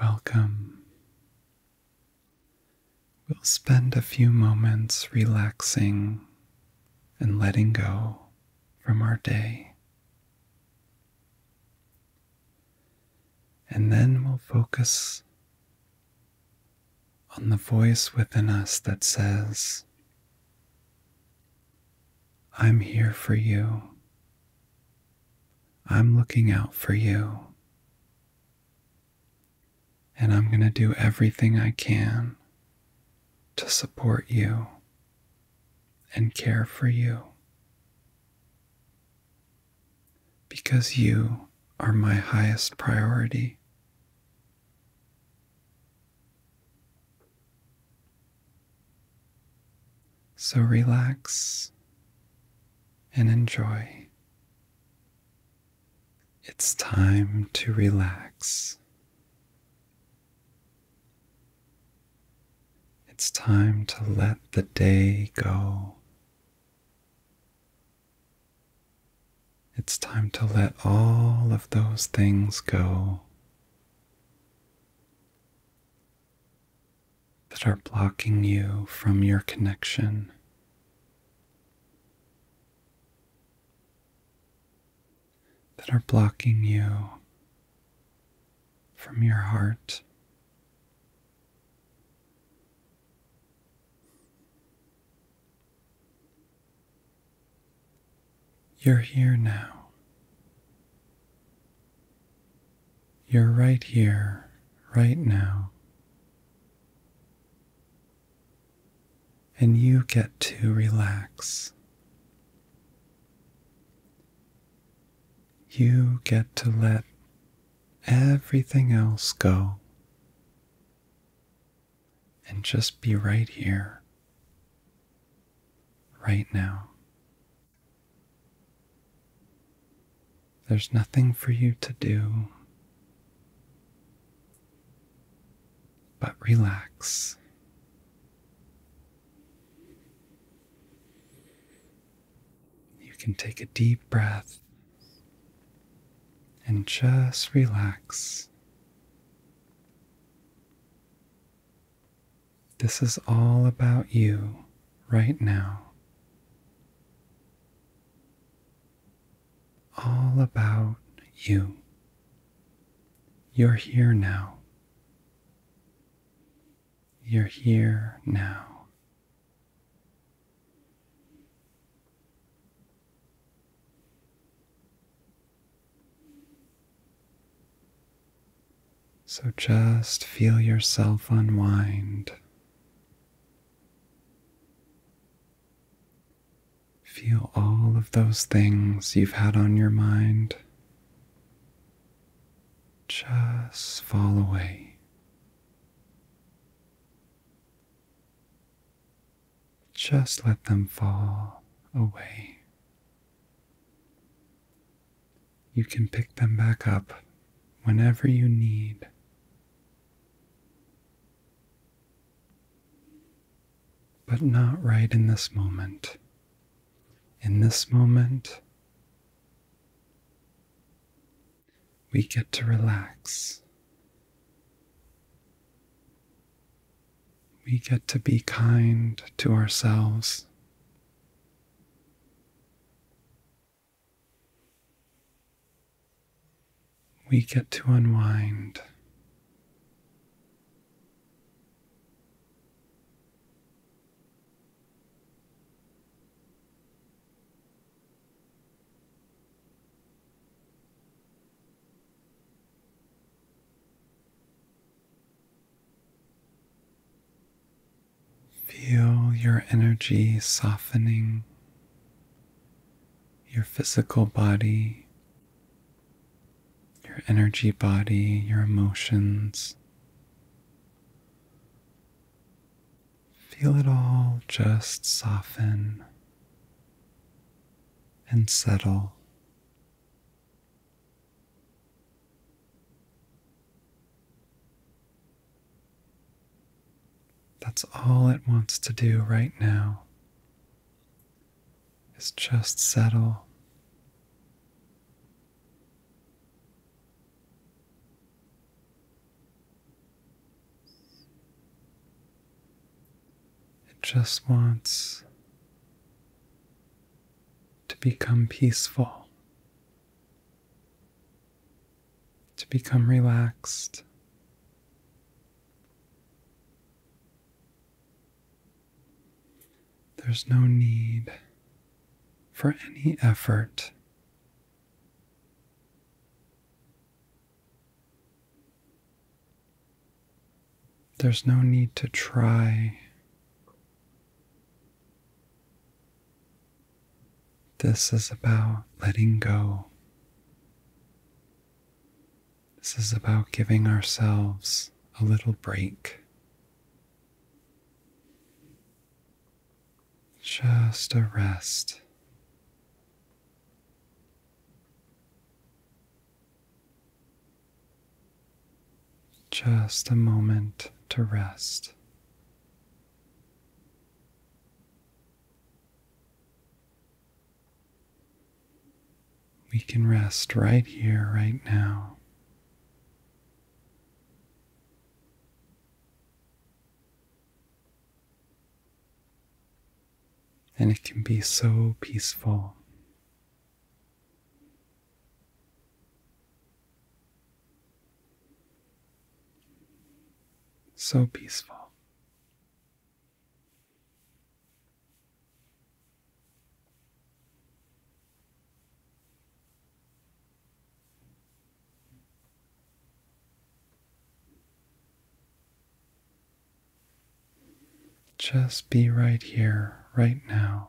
Welcome. We'll spend a few moments relaxing and letting go from our day. And then we'll focus on the voice within us that says, I'm here for you. I'm looking out for you. And I'm going to do everything I can to support you and care for you. Because you are my highest priority. So relax and enjoy. It's time to relax. It's time to let the day go. It's time to let all of those things go that are blocking you from your connection. That are blocking you from your heart. You're here now. You're right here, right now. And you get to relax. You get to let everything else go and just be right here, right now. There's nothing for you to do but relax. You can take a deep breath and just relax. This is all about you right now. All about you. You're here now. You're here now. So just feel yourself unwind. Feel all of those things you've had on your mind just fall away. Just let them fall away you can pick them back up whenever you need. But not right in this moment. In this moment, we get to relax. We get to be kind to ourselves we get to unwind. Feel your energy softening your physical body, your energy body, your emotions. Feel it all just soften and settle. That's all it wants to do right now is just settle. It just wants to become peaceful to become relaxed. There's no need for any effort. There's no need to try this is about letting go. This is about giving ourselves a little break. Just a rest. Just a moment to rest. We can rest right here, right now. And it can be so peaceful so peaceful. Just be right here, right now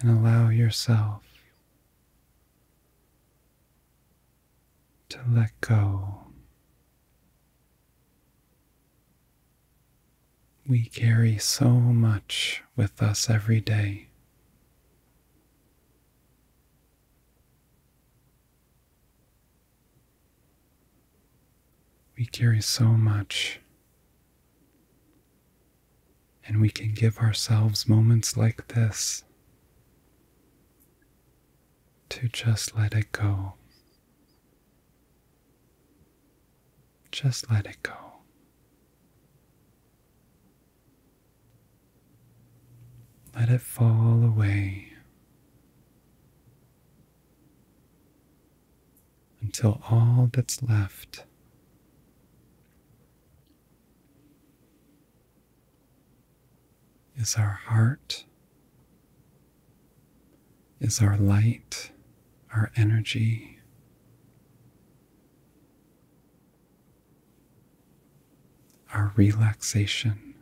and allow yourself to let go. We carry so much with us every day. We carry so much, and we can give ourselves moments like this to just let it go. Just let it go. Let it fall away until all that's left is our heart, is our light, our energy. Our relaxation,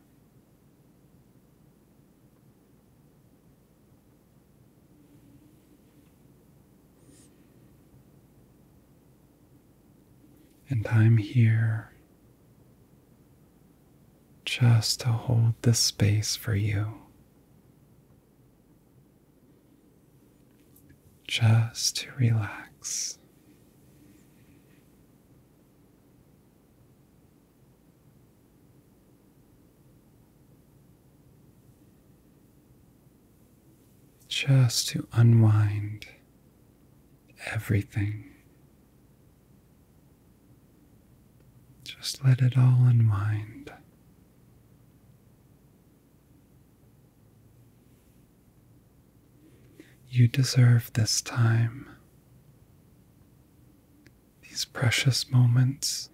and I'm here just to hold this space for you. Just to relax. Just to unwind everything. Just let it all unwind. You deserve this time these precious moments.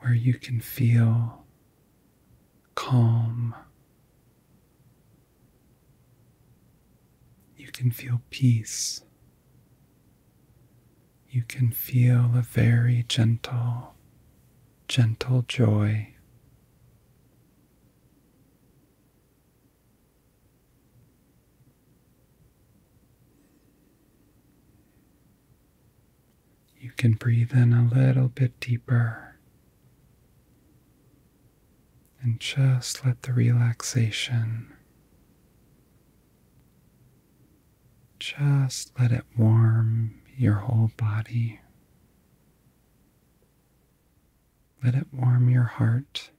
Where you can feel calm, you can feel peace, you can feel a very gentle, gentle joy you can breathe in a little bit deeper and just let the relaxation just let it warm your whole body. Let it warm your heart.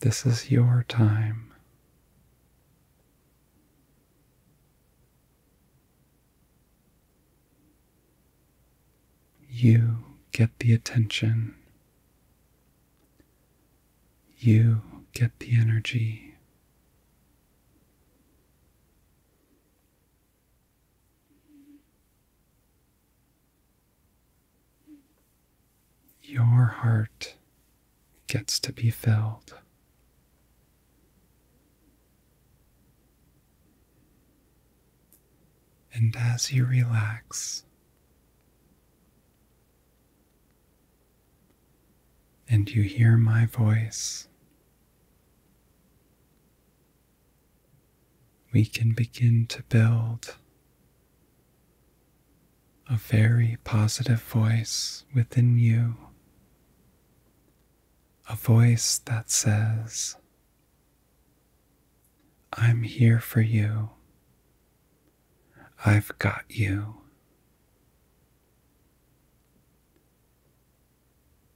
This is your time. You get the attention. You get the energy. Your heart gets to be filled. And as you relax, and you hear my voice, we can begin to build a very positive voice within you, a voice that says, I'm here for you. I've got you.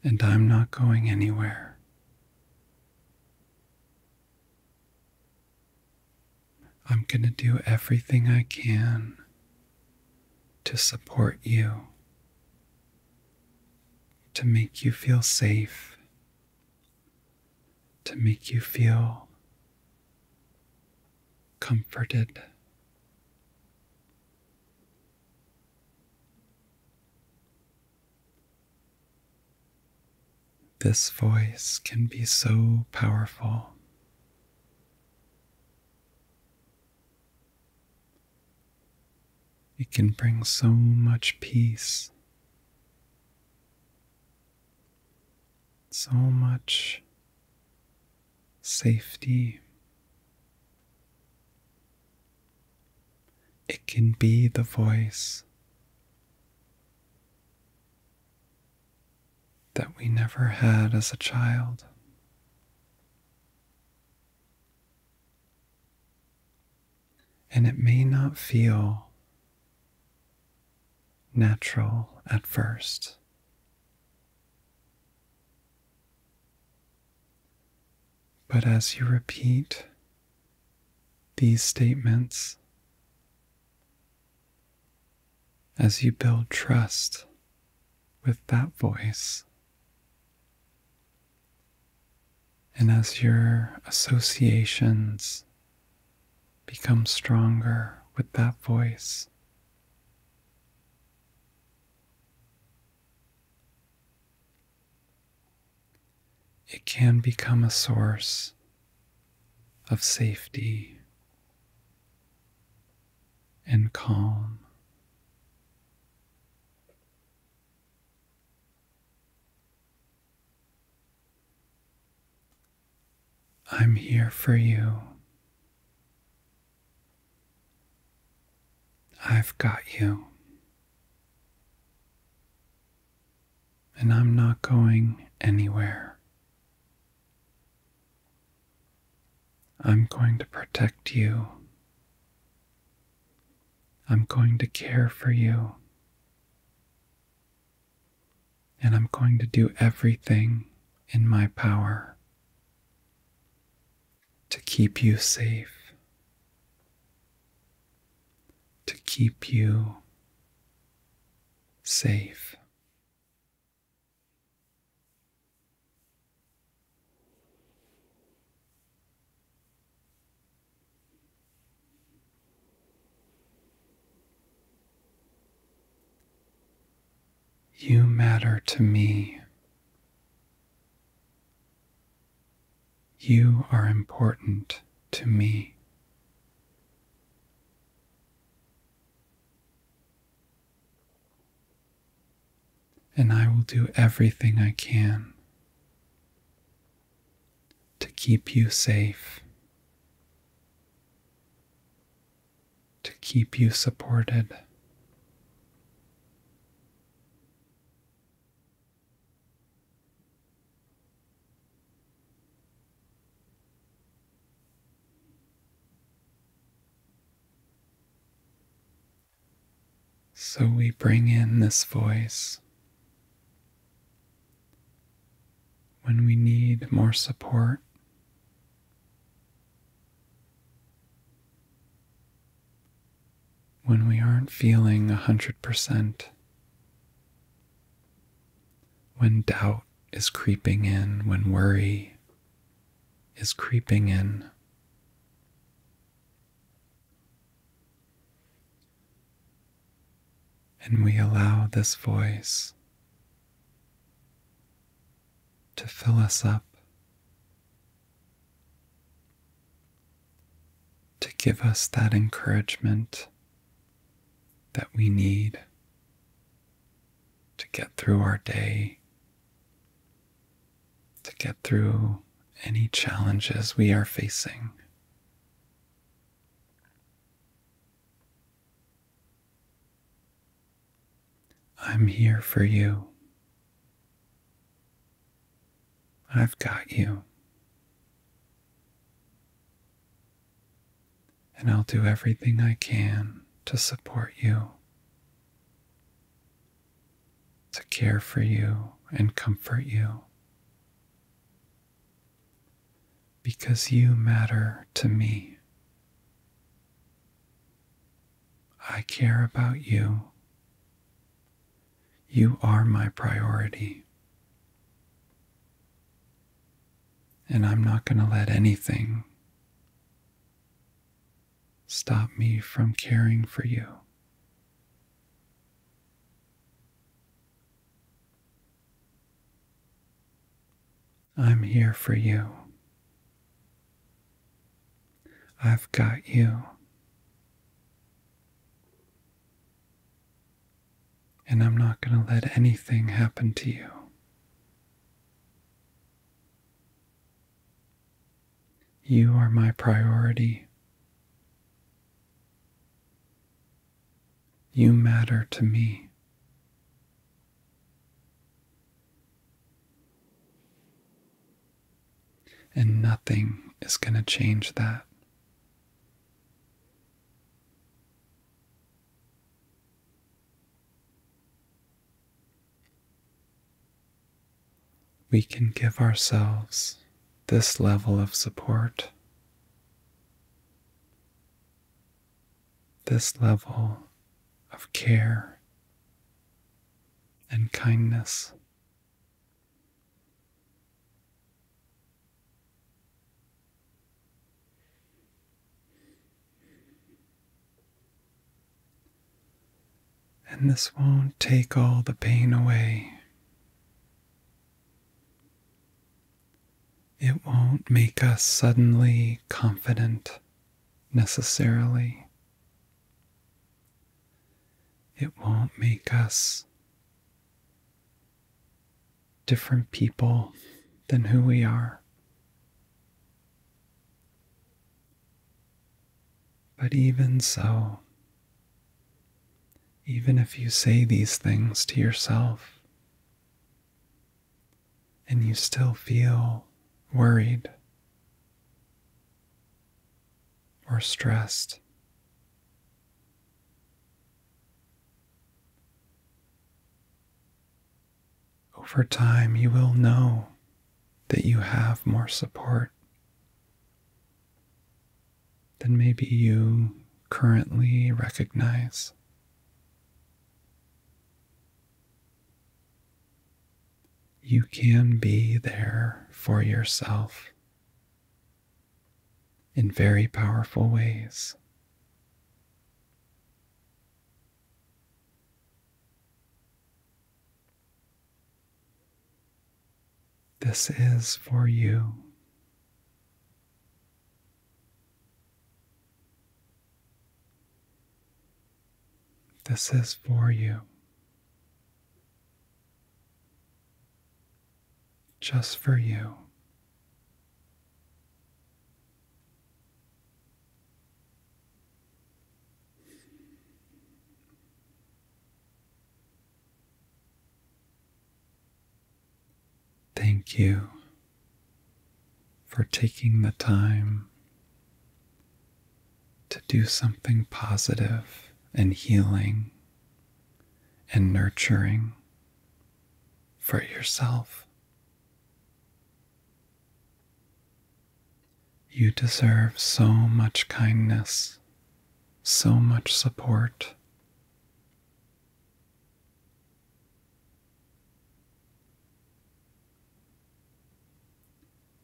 And I'm not going anywhere. I'm going to do everything I can to support you, to make you feel safe to make you feel comforted. This voice can be so powerful. It can bring so much peace, so much safety. It can be the voice that we never had as a child and it may not feel natural at first. But as you repeat these statements, as you build trust with that voice, and as your associations become stronger with that voice, it can become a source of safety and calm. I'm here for you. I've got you. And I'm not going anywhere. I'm going to protect you I'm going to care for you. And I'm going to do everything in my power to keep you safe, to keep you safe. You matter to me. You are important to me. And I will do everything I can to keep you safe, to keep you supported. So we bring in this voice when we need more support. When we aren't feeling 100%, when doubt is creeping in, when worry is creeping in, and we allow this voice to fill us up, to give us that encouragement that we need to get through our day, to get through any challenges we are facing. I'm here for you. I've got you. And I'll do everything I can to support you, to care for you and comfort you because you matter to me. I care about you. You are my priority. And I'm not going to let anything stop me from caring for you. I'm here for you. I've got you. And I'm not going to let anything happen to you. You are my priority. You matter to me. And nothing is going to change that we can give ourselves this level of support, this level of care and kindness. And this won't take all the pain away. It won't make us suddenly confident necessarily. It won't make us different people than who we are. But even so, even if you say these things to yourself and you still feel worried or stressed. Over time, you will know that you have more support then maybe you currently recognize. You can be there for yourself in very powerful ways. This is for you. This is for you. Just for you. Thank you for taking the time to do something positive and healing and nurturing for yourself. You deserve so much kindness so much support.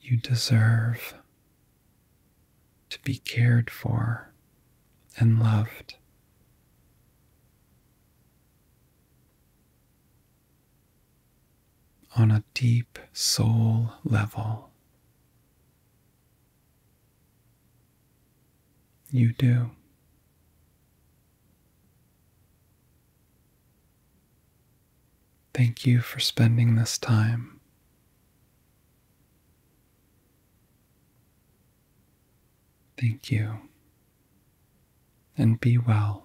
You deserve to be cared for and loved. On a deep soul level, you do. Thank you for spending this time. Thank you, and be well.